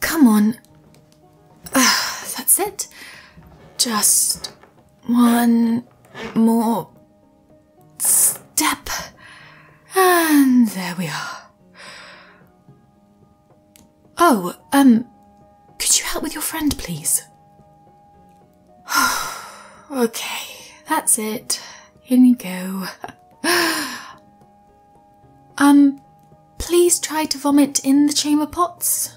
Come on. that's it. Just one more step. And there we are. Oh, um, could you help with your friend, please? okay, that's it. In you go. um, please try to vomit in the chamber pots.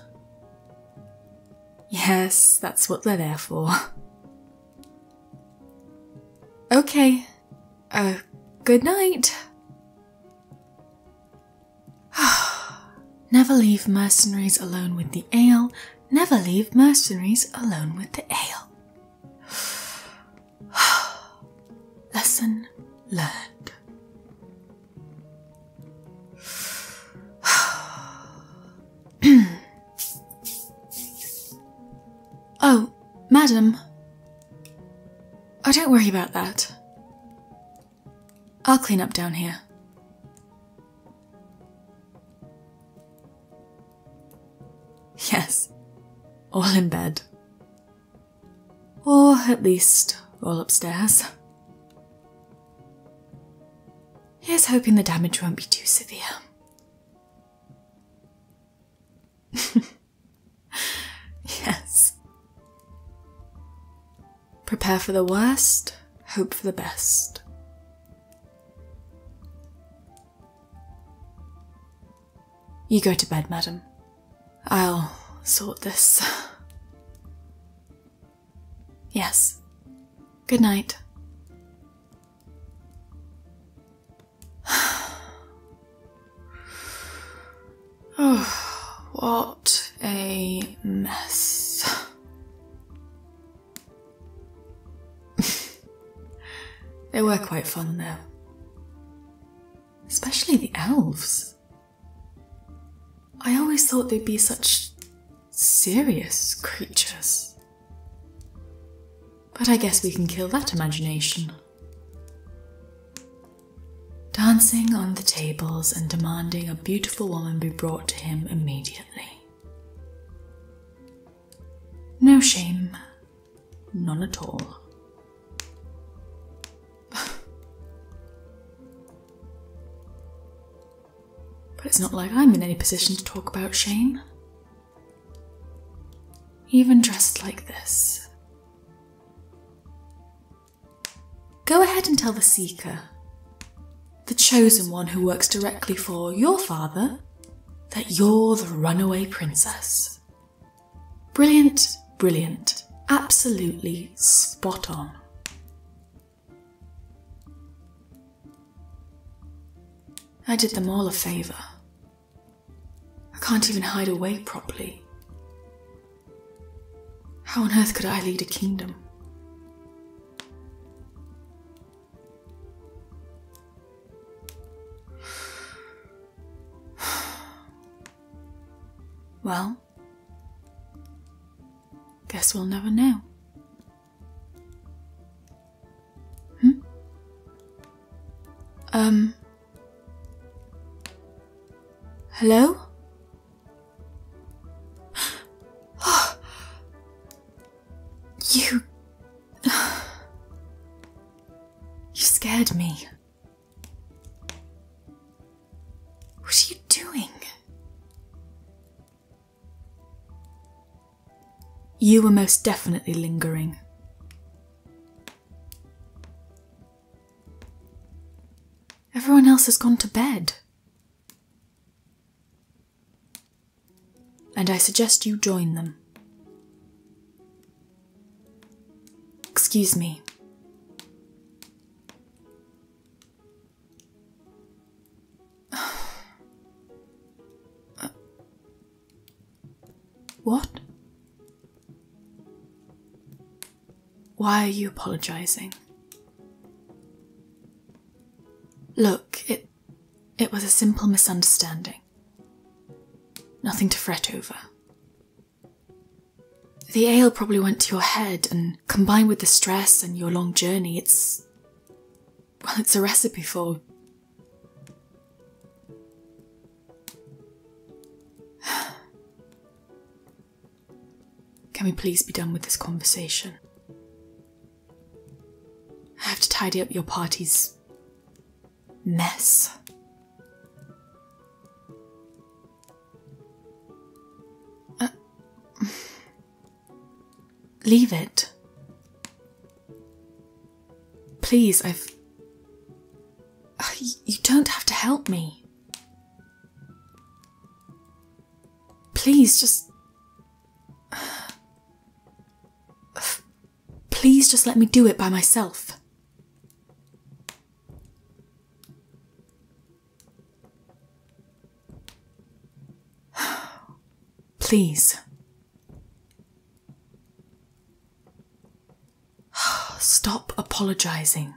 Yes, that's what they're there for. Okay. Uh, good night. never leave mercenaries alone with the ale. Never leave mercenaries alone with the ale. Lesson learned. oh, madam. Oh, don't worry about that. I'll clean up down here. Yes, all in bed. Or at least all upstairs. Here's hoping the damage won't be too severe. yes. Prepare for the worst, hope for the best. You go to bed, madam. I'll sort this. Yes. Good night oh, what a mess. they were quite fun though. Especially the elves. I always thought they'd be such serious creatures. But I guess we can kill that imagination. Dancing on the tables and demanding a beautiful woman be brought to him immediately. No shame, none at all. but it's not like I'm in any position to talk about shame. Even dressed like this. Go ahead and tell the Seeker, the chosen one who works directly for your father, that you're the runaway princess. Brilliant, brilliant, absolutely spot on. I did them all a favour. I can't even hide away properly. How on earth could I lead a kingdom? Well, guess we'll never know. Hmm? Um. Hello? You. You scared me. What are you doing? You are most definitely lingering. Everyone else has gone to bed. And I suggest you join them. Excuse me. what? Why are you apologizing? Look, it it was a simple misunderstanding. Nothing to fret over. The ale probably went to your head, and combined with the stress and your long journey, it's well, it's a recipe for. Can we please be done with this conversation? I have to tidy up your party's mess. Leave it. Please, I've. You don't have to help me. Please, just. Please just let me do it by myself. Please. Stop apologizing.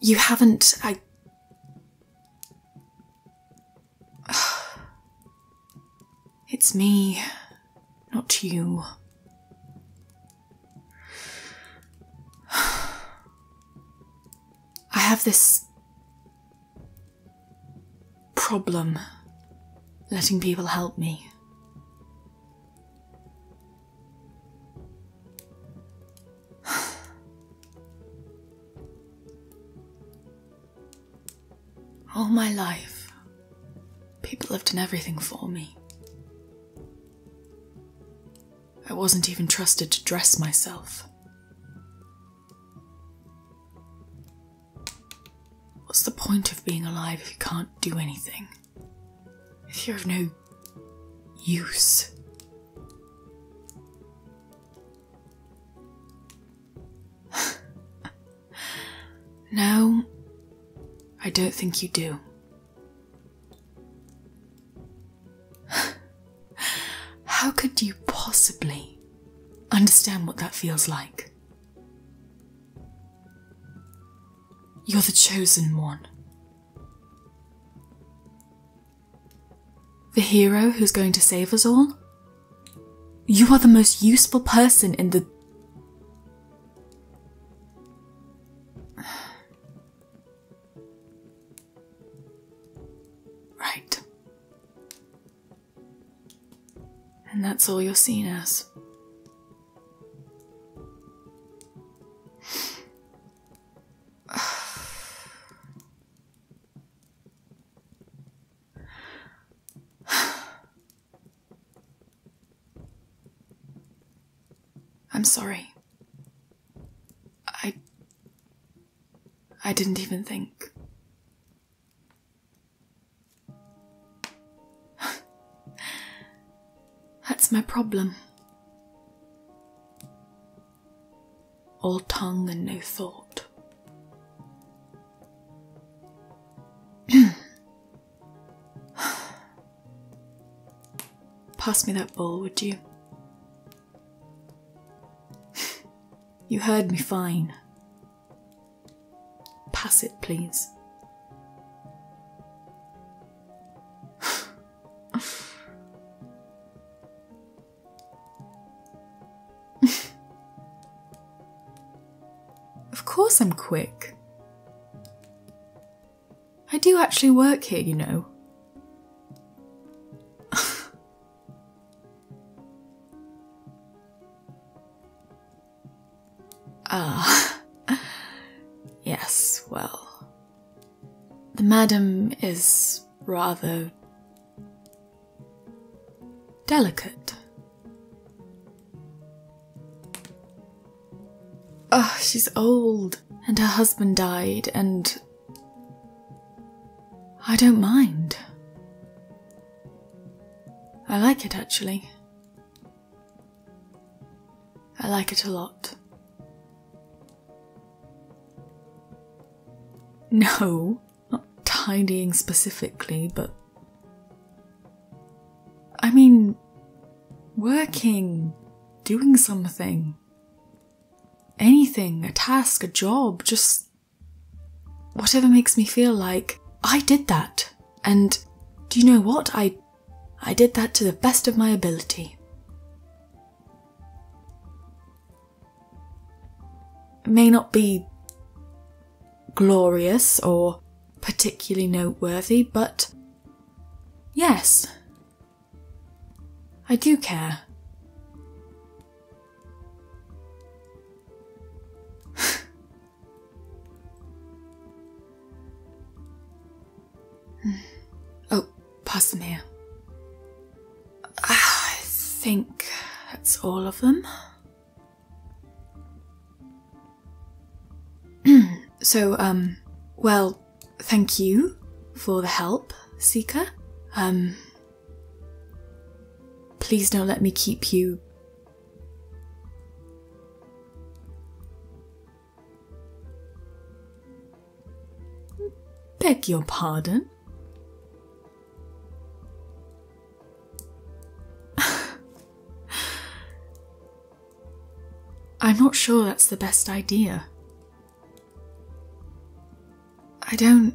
You haven't. I. It's me, not you. I have this problem letting people help me. All my life, people have done everything for me. I wasn't even trusted to dress myself. What's the point of being alive if you can't do anything? If you're of no use? no, I don't think you do. How could you possibly understand what that feels like? You're the chosen one. The hero who's going to save us all? You are the most useful person in the. Right. And that's all you're seeing us. I'm sorry. I. I didn't even think. That's my problem. All tongue and no thought. Pass me that bowl, would you? you heard me fine. Pass it, please. of course, I'm quick. I do actually work here, you know. ah. Yes, well. The madam is rather delicate. Ugh, ah, she's old, and her husband died, and I don't mind. I like it actually. I like it a lot. No, not tidying specifically, but. I mean, working, doing something anything, a task, a job, just whatever makes me feel like I did that. And do you know what? I I did that to the best of my ability. It may not be glorious or particularly noteworthy, but yes, I do care. oh, pass them here. Ah, I think that's all of them. so, um, well, thank you for the help, Seeker. Um, please don't let me keep you. Beg your pardon. I'm not sure that's the best idea. I don't.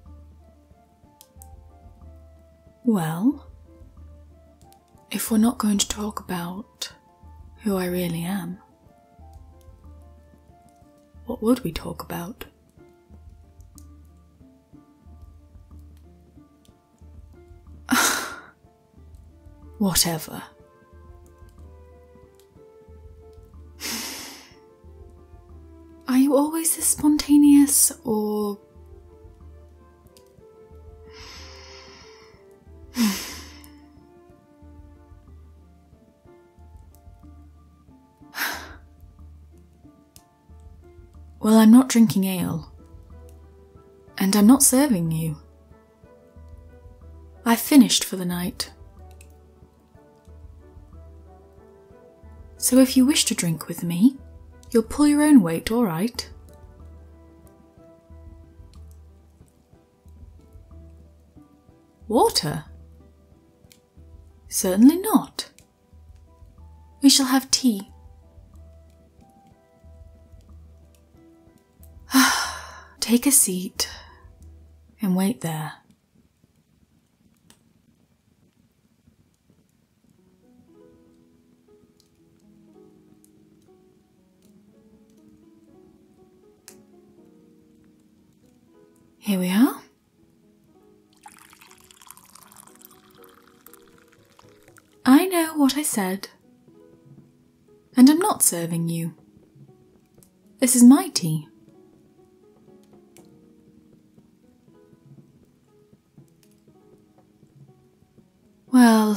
well, if we're not going to talk about who I really am, what would we talk about? Whatever. Are you always this spontaneous or. Well, I'm not drinking ale. And I'm not serving you. I've finished for the night. So if you wish to drink with me, you'll pull your own weight, all right? Water? Certainly not. We shall have tea. Take a seat and wait there. Here we are. I know what I said. And I'm not serving you. This is my tea. Well,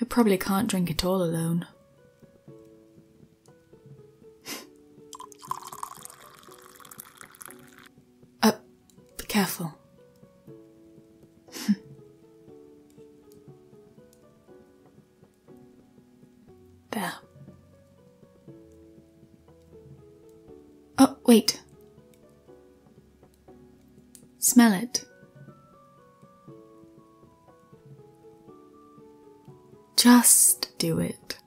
I probably can't drink it all alone. uh, be careful. there. Oh, wait. Smell it. Just do it.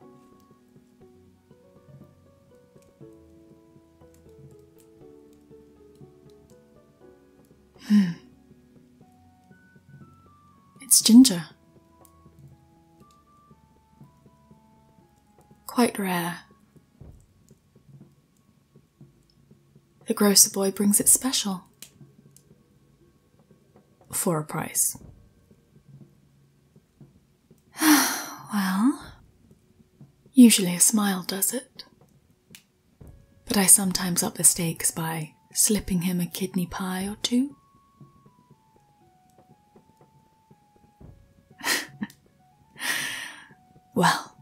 Hmm. It's ginger. Quite rare. The grocer boy brings it special. For a price. well, usually a smile does it. But I sometimes up the stakes by slipping him a kidney pie or two. well,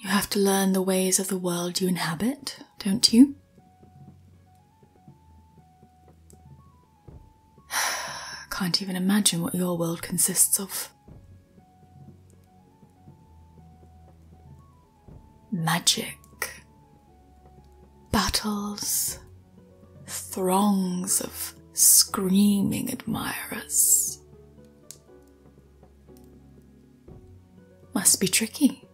you have to learn the ways of the world you inhabit, don't you? Can't even imagine what your world consists of. Magic. Battles. Throngs of screaming admirers. Must be tricky.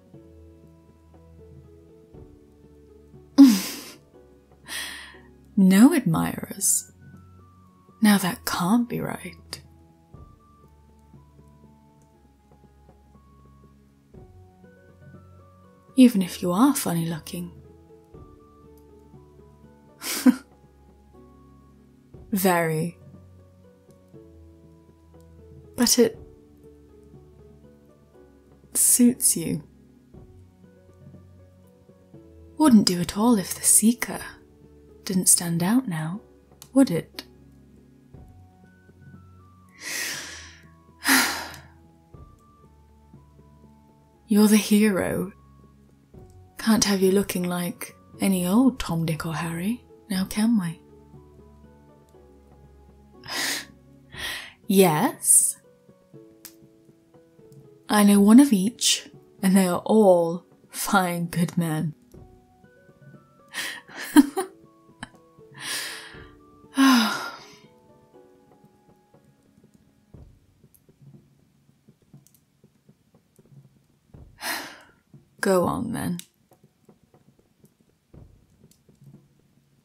Hmm. no admirers. Now that can't be right. Even if you are funny looking. Very. But it suits you. Wouldn't do at all if the seeker didn't stand out now, would it? You're the hero. Can't have you looking like any old Tom, Dick, or Harry, now can we? yes. I know one of each, and they are all fine good men. Go on then.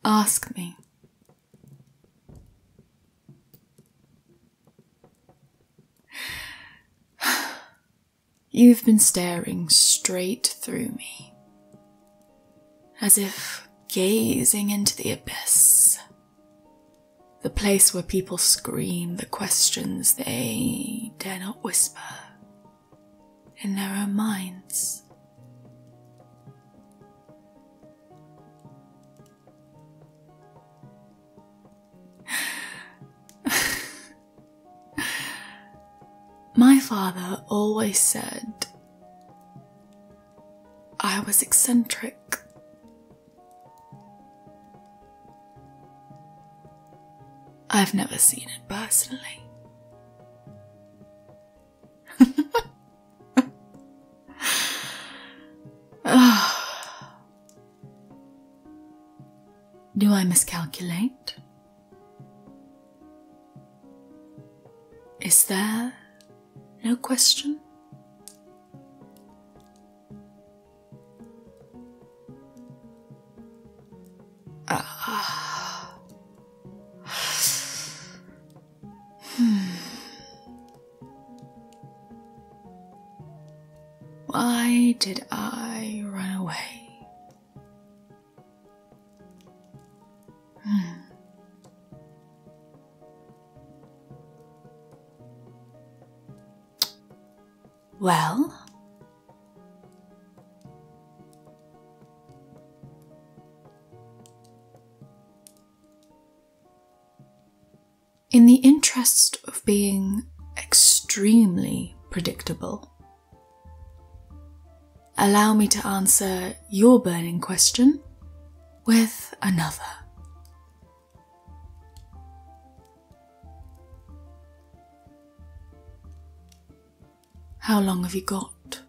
Ask me You've been staring straight through me, as if gazing into the abyss, the place where people scream the questions they dare not whisper in their own minds. My father always said I was eccentric. I've never seen it personally. Do I miscalculate? Is there no question? Hmm. Why did I run away? Hmm. Well, in the interest of being extremely predictable, allow me to answer your burning question with another. How long have you got?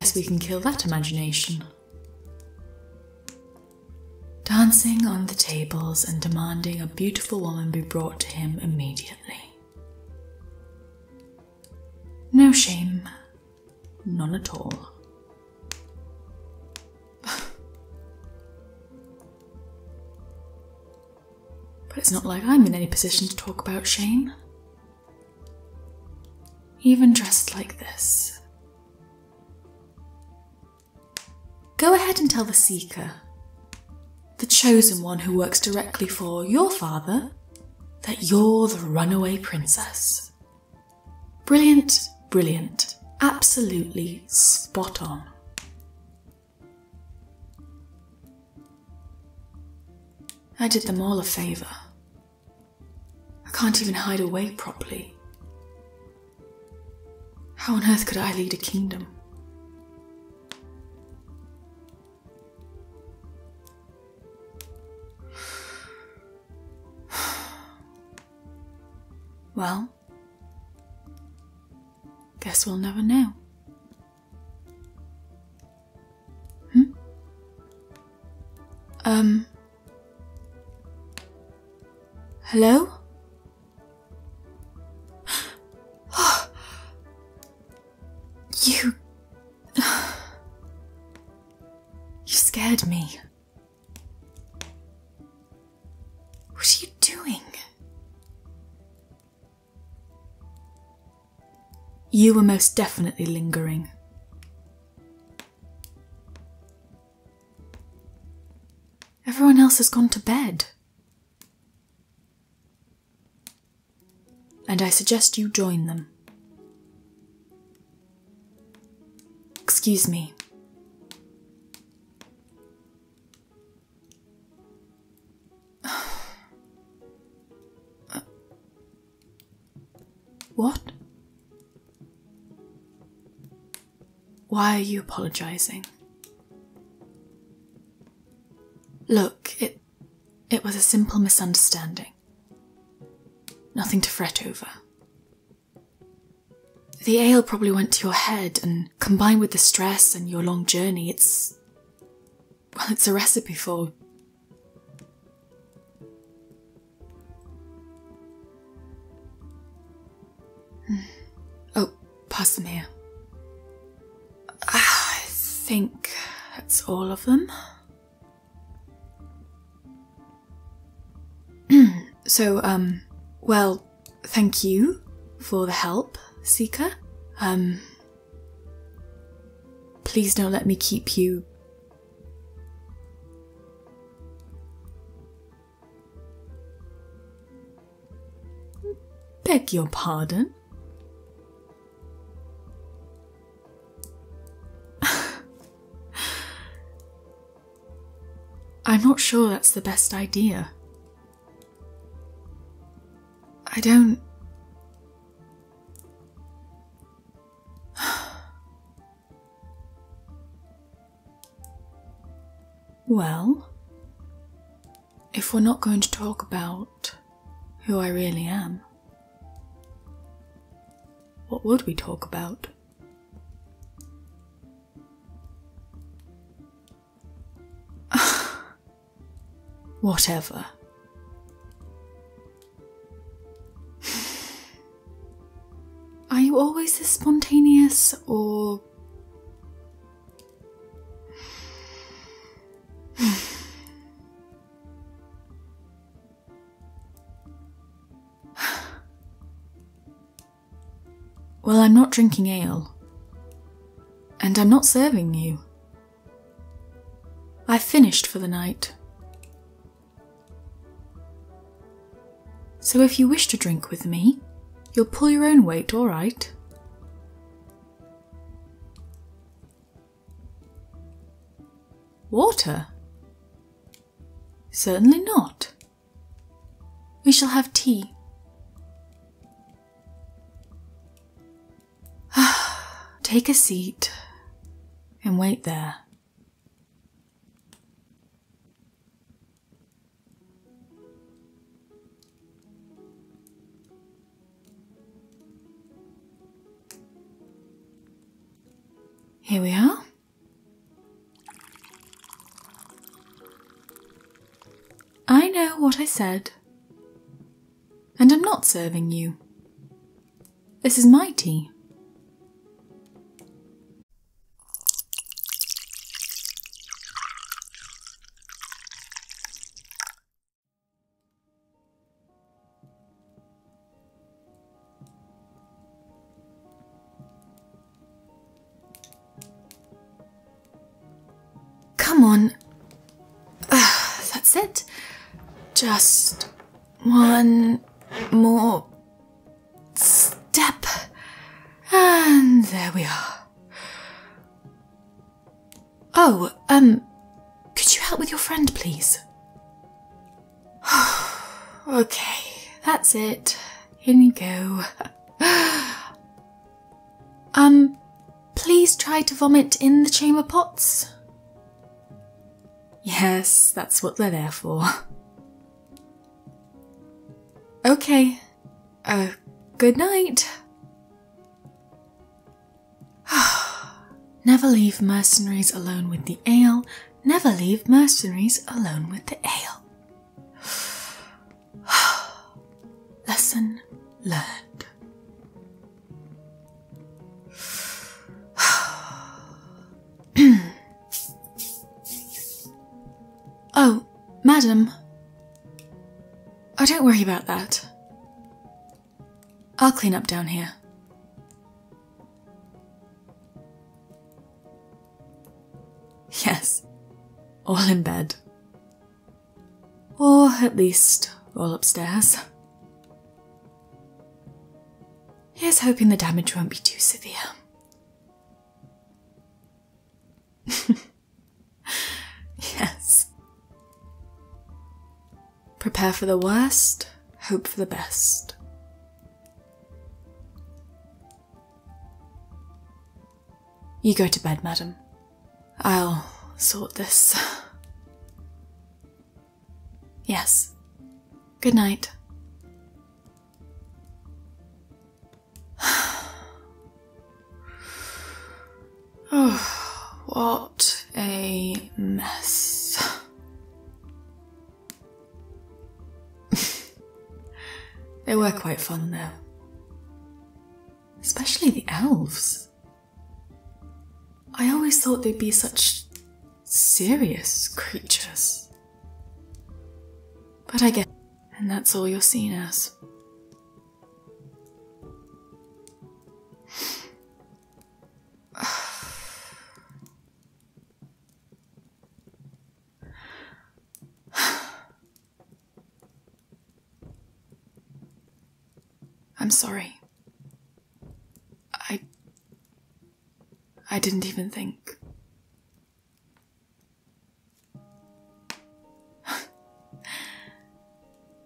Guess we can kill that imagination. Dancing on the tables and demanding a beautiful woman be brought to him immediately. No shame. None at all. but it's not like I'm in any position to talk about shame. Even dressed like this. Go ahead and tell the Seeker, the chosen one who works directly for your father, that you're the runaway princess. Brilliant, brilliant, absolutely spot on. I did them all a favour. I can't even hide away properly. How on earth could I lead a kingdom? Well, guess we'll never know. Hmm? Um. Hello? Oh, you. you scared me. What are you doing? You were most definitely lingering. Everyone else has gone to bed and I suggest you join them. Excuse me. What? Why are you apologizing? Look, it it, was a simple misunderstanding. Nothing to fret over. The ale probably went to your head, and combined with the stress and your long journey, it's. well, it's a recipe for. Hmm. Oh, pass them I think that's all of them. so, um, well, thank you for the help, Seeker. Um, please don't let me keep you. Beg your pardon. I'm not sure that's the best idea. I don't. well, if we're not going to talk about who I really am, what would we talk about? Whatever. Are you always this spontaneous or. well, I'm not drinking ale. And I'm not serving you. I've finished for the night. So if you wish to drink with me, you'll pull your own weight, all right? Water? Certainly not. We shall have tea. Take a seat and wait there. Here we are. I know what I said. And I'm not serving you. This is my tea. Come on. Ah, that's it. Just one more step. And there we are. Oh, um, could you help with your friend, please? okay, that's it. In you go. um, please try to vomit in the chamber pots. Yes, that's what they're there for. Okay, uh, good night. never leave mercenaries alone with the ale. Never leave mercenaries alone with the ale. Lesson learned. oh, madam. Oh, don't worry about that. I'll clean up down here. Yes, all in bed. Or at least all upstairs. Here's hoping the damage won't be too severe. yes. Prepare for the worst, hope for the best. You go to bed, madam. I'll sort this. Yes. Good night. Oh, what a mess. they were quite fun though. Especially the elves. I always thought they'd be such serious creatures. But I guess, and that's all you're seen as. I'm sorry. I. I didn't even think.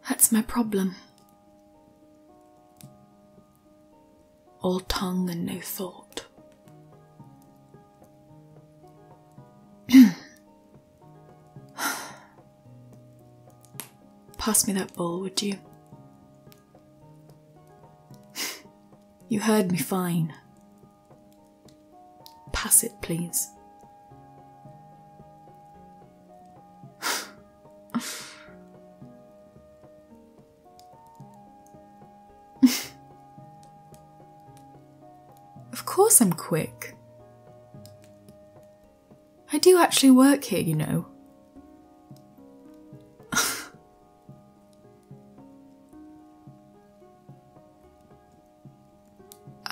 That's my problem. All tongue and no thought. Pass me that bowl, would you? you heard me fine. Pass it, please of course I'm quick. I do actually work here, you know.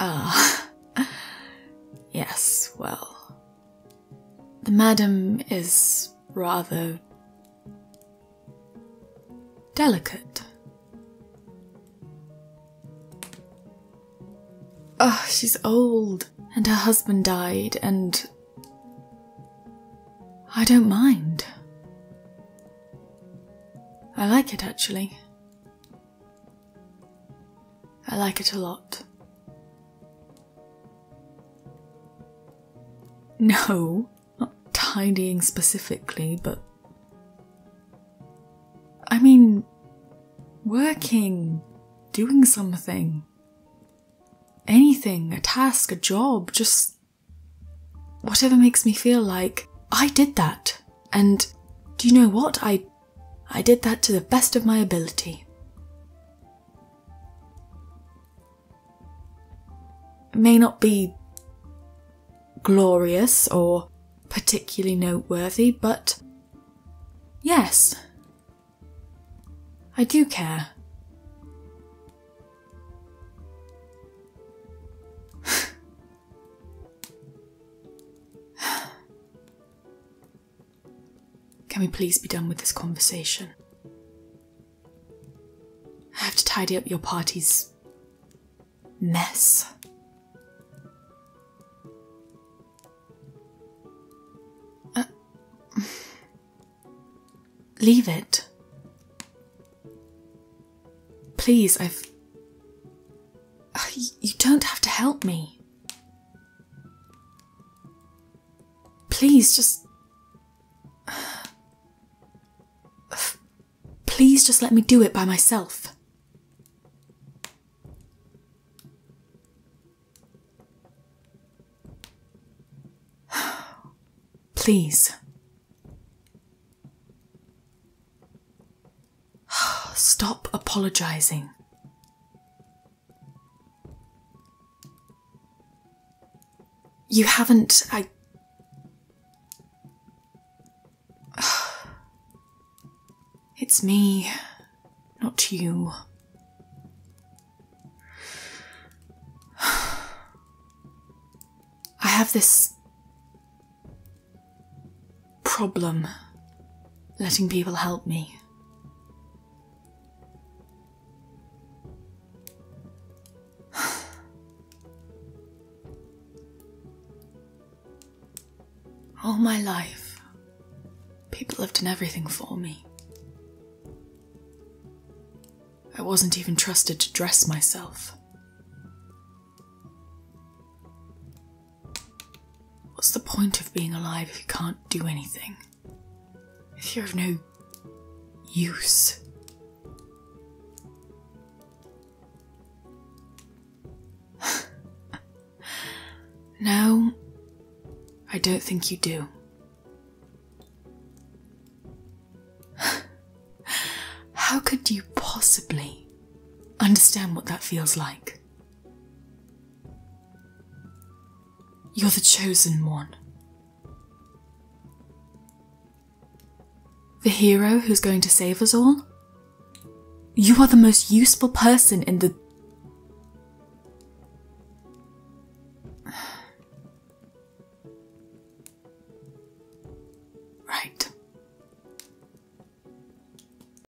Ah, yes, well. The madam is rather delicate. Oh, she's old, and her husband died, and I don't mind. I like it actually. I like it a lot. No, not tidying specifically, but. I mean, working, doing something. Anything, a task, a job, just whatever makes me feel like I did that. And do you know what? I I did that to the best of my ability. It may not be glorious or particularly noteworthy, but yes, I do care. Can we please be done with this conversation? I have to tidy up your party's mess. Uh, leave it. Please, I've. Uh, you don't have to help me. Please just. Please just let me do it by myself. Please. Stop apologizing. You haven't. I. It's me, not you. I have this problem letting people help me. All my life, people have done everything for me. I wasn't even trusted to dress myself. What's the point of being alive if you can't do anything? If you're of no use? no, I don't think you do. How could you possibly understand what that feels like? You're the chosen one. The hero who's going to save us all? You are the most useful person in the. right.